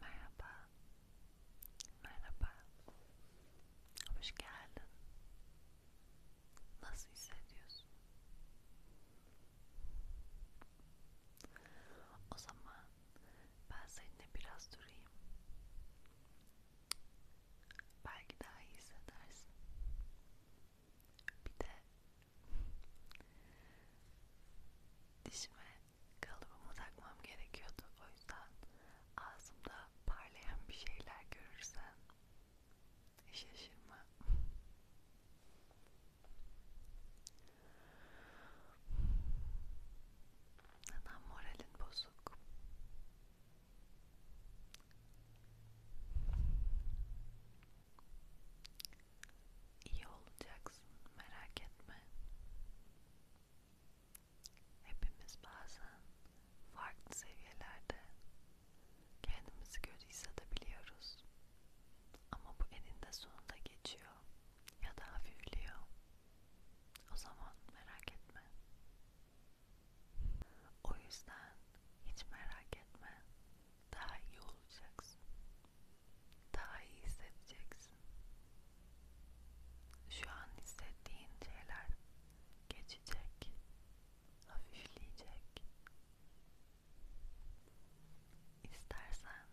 Merhaba. Merhaba. Hoş geldin. Nasıl hissediyorsun? O zaman ben seninle biraz durayım. Belki daha iyi hissedersin. Bir de dişime kalıbıma takmam gerekiyordu. O yüzden ağzımda parlayan bir şeyler görürsen şaşırma. Neden moralin bozuk? İyi olacaksın, merak etme. Hepimiz bazen farklı seviyelerde kendimizi kötü hissedebiliyoruz. Ama bu eninde sonunda geçiyor ya da hafifliyor. O zaman merak etme. O yüzden hiç merak etme. Daha iyi olacaksın daha iyi hissedeceksin. Şu an hissettiğin şeyler geçecek, hafifleyecek. İstersen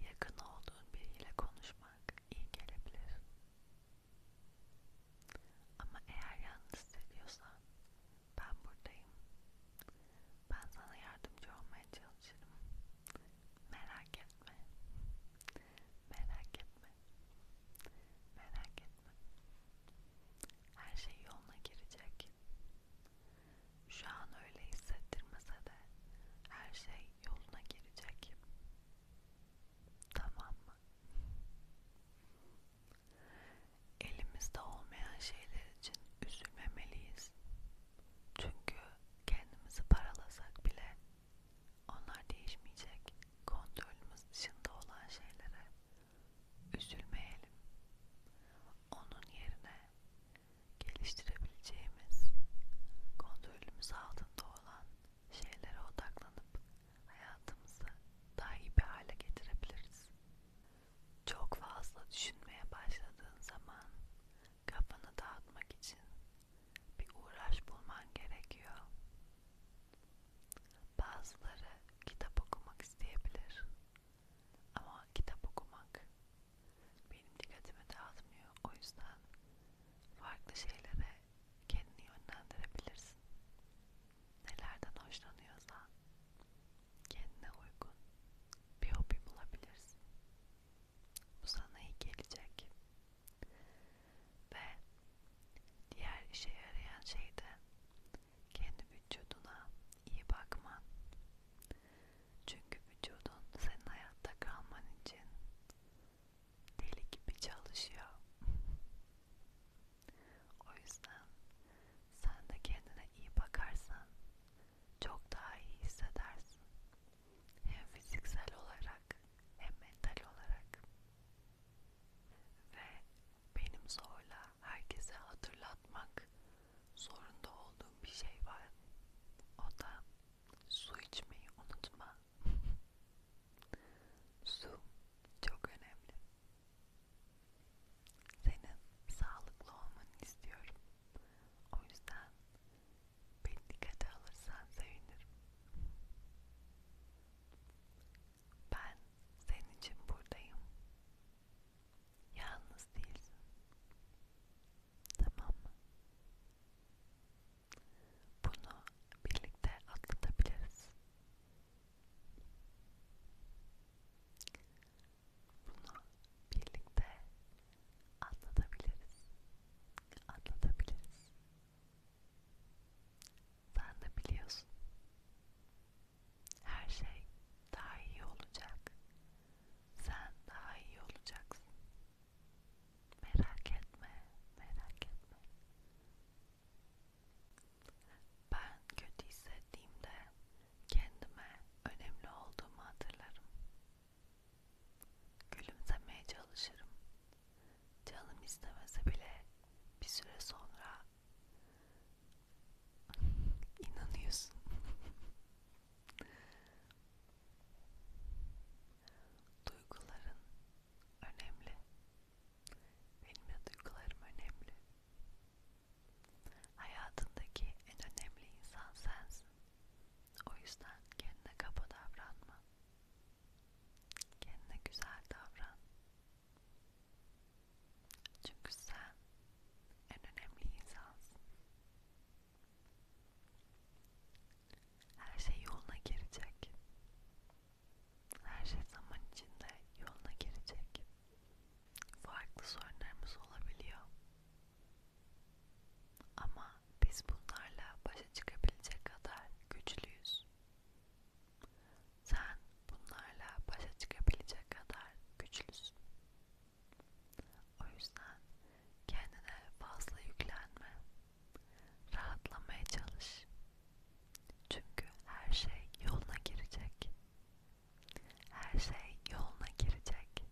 yakın olduğun biriyle konuşmak iyi gelebilir. Ama eğer yalnız hissediyorsan ben buradayım. Ben sana yardımcı olmaya çalışırım. Merak etme. Merak etme. Merak etme. Her şey yoluna girecek. Şu an öyle hissettirmese de her şey yoluna girecek. Tamam mı? Elimizde olmayan şeyler için üzülmemeliyiz. Çünkü kendimizi paralasak bile onlar değişmeyecek. Kontrolümüz dışında olan şeylere üzülmeyelim. Onun yerine geliştirebileceğimiz, kontrolümüz altında olan şeylere odaklanıp hayatımızı daha iyi bir hale getirebiliriz. Çok fazla düşünmeye başladığın zaman kafanı dağıtmak için bir uğraş bulman gerekiyor. Bazıları kitap okumak isteyebilir ama kitap okumak benim dikkatimi dağıtmıyor. O yüzden farklı şeylere kendini yönlendirebilirsin. Nelerden hoşlanıyorsan kendine uygun bir hobi bulabilirsin. Bu sana iyi gelecek. Ve diğer işe yarayan şey de kendi vücuduna iyi bakman. Çünkü vücudun senin hayatta kalman için deli gibi çalışıyor. o yüzden sen de kendine iyi bakarsan çok daha iyi hissedersin. Hem fiziksel olarak hem mental olarak. Ve benim zorla herkese hatırlatmak zorunda olduğum bir şey var. O da su içmeyi unutma. su çok önemli. Senin sağlıklı olmanı istiyorum. O yüzden beni dikkate alırsan sevinirim. Ben senin için buradayım. Yalnız değilsin. Tamam mı? Bunu birlikte atlatabiliriz. Bunu birlikte atlatabiliriz anlatabiliriz. Sen de biliyorsun. Her şey daha iyi olacak. Sen daha iyi olacaksın. Merak etme, merak etme. Ben kötü hissettiğimde kendime önemli olduğumu hatırlarım. Gülümsemeye çalışırım. Canım istemese bile bir süre sonra inanıyorsun. Duyguların önemli. Benim de duygularım önemli. Hayatındaki en önemli insan sensin. O yüzden kendine kaba davranma. Kendine güzel davran. Çünkü sen en önemli insansın. Her şey yoluna girecek. Her şey zaman içinde yoluna girecek. Farklı sorunlarımız olabiliyor. Ama biz bunlarla başa çıkabilecek kadar güçlüyüz. Sen bunlarla başa çıkabilecek kadar güçlüsün. O yüzden kendine fazla yüklenme. Rahatlamaya çalış. Çünkü her şey yoluna girecek. Her şey yoluna girecek.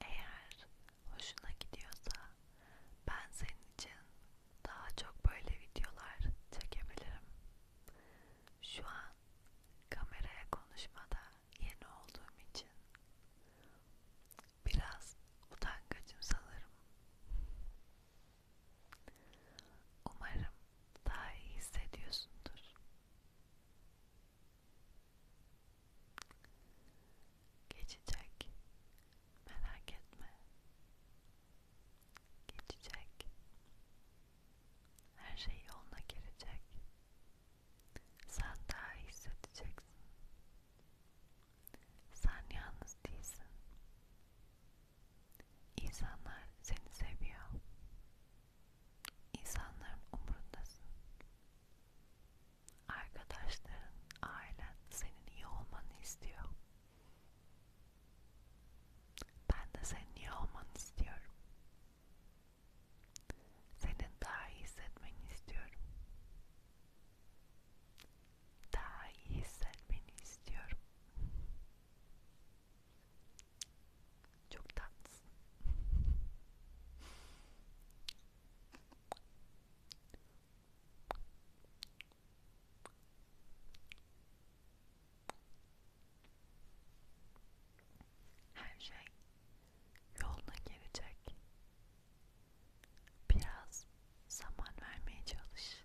Eğer hoşuna gidiyorsa ben senin için daha çok böyle videolar çekebilirim. Şu an kameraya konuşmada yeni olduğum için biraz utankacım sanırım. Umarım daha iyi hissediyorsundur. Geçecek. Merak etme. Geçecek. Her şey yoluna girecek. Sen daha iyi hissedeceksin. Sen yalnız değilsin. İnsanlar seni seviyor. İnsanların umurundasın. Arkadaşların, ailen senin iyi olmanı istiyor. Ben de senin iyi olmanı istiyorum. Senin daha iyi hissetmeni istiyorum. Daha iyi hissetmeni istiyorum. Çok tatlısın. Her şey yoluna girecek. Biraz zaman vermeye çalış.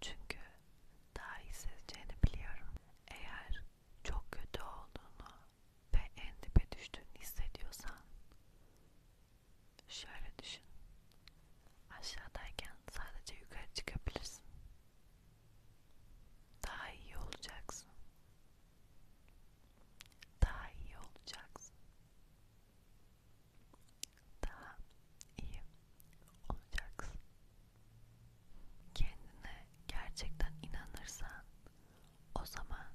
Çünkü daha iyi hissedeceğini biliyorum. Eğer çok kötü olduğunu ve en dibe düştüğünü hissediyorsan şöyle düşün. Aşağıdayken sadece yukarı çıkabilirsin. Daha iyi olacaksın. Daha iyi olacaksın. Daha iyi olacaksın. Kendine gerçekten inanırsan o zaman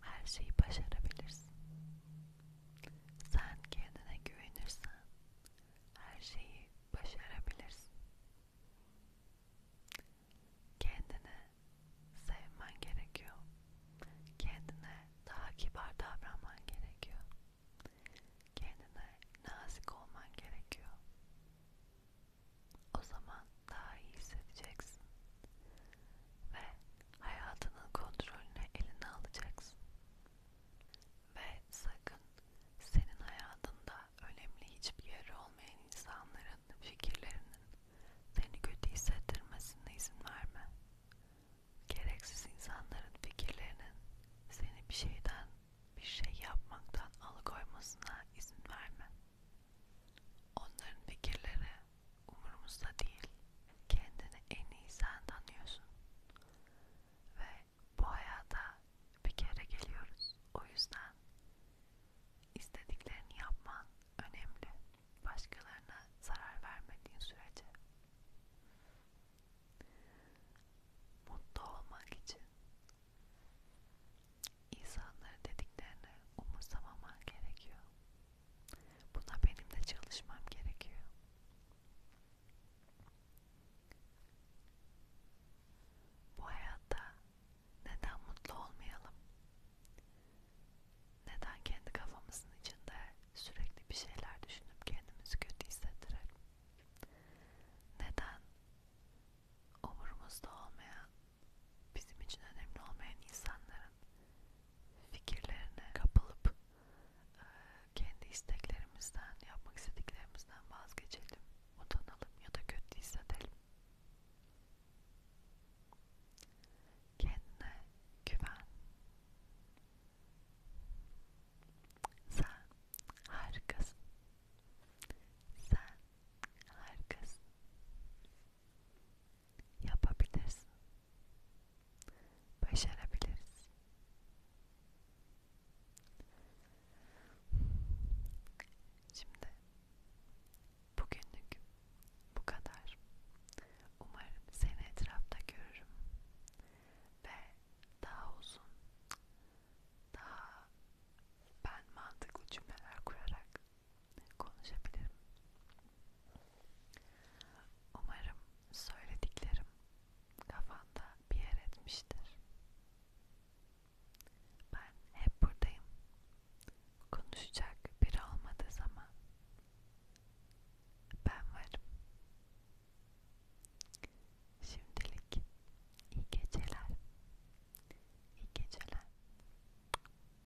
her şeyi başarabilirsin. Sen kendine güvenirsen her şeyi başarabilirsin. Kendini sevmen gerekiyor. Kendine daha kibar davranman gerekiyor. Kendine nazik olman gerekiyor. O zaman daha iyi hissedeceksin ve hayatının kontrolünü eline alacaksın ve sakın senin hayatında önemli hiçbir yeri olmayan insanların fikirlerinin seni kötü hissettirmesine izin verme. Gereksiz insanların fikirlerinin seni bir şeyden, bir şey yapmaktan alıkoymasına izin verme. Onların fikirleri umurumuzda değil. Kendini en iyi sen tanıyorsun. Ve bu hayata bir kere geliyoruz. O yüzden istediklerini yapman önemli. Başkalarına zarar vermediğin sürece. Mutlu olmak için insanları dediklerini umursamaman gerekiyor. Buna benim de çalışmam gerekiyor. Bu hayatta neden mutlu olmayalım? Neden kendi kafamızın içinde sürekli bir şeyler düşünüp kendimizi kötü hissettirelim? Neden umurumuzda olmayan bizim için önemli olmayan insanların fikirlerine kapılıp e, kendi isteklerimizden, yapmak istediklerimizden vazgeçelim, utanalım ya da kötü hissedelim. Kendine güven. Sen harikasın. Sen harikasın. Yapabilirsin. Başarabiliriz. Şimdi bugünlük bu kadar. Umarım seni etrafta görürüm ve daha uzun, daha ben mantıklı cümleler kurarak konuşabilirim. Umarım söylediklerim kafanda bir yer etmiştir. Ben hep buradayım. Konuşacak biri olmadığı zaman ben varım. Şimdilik iyi geceler. İyi geceler.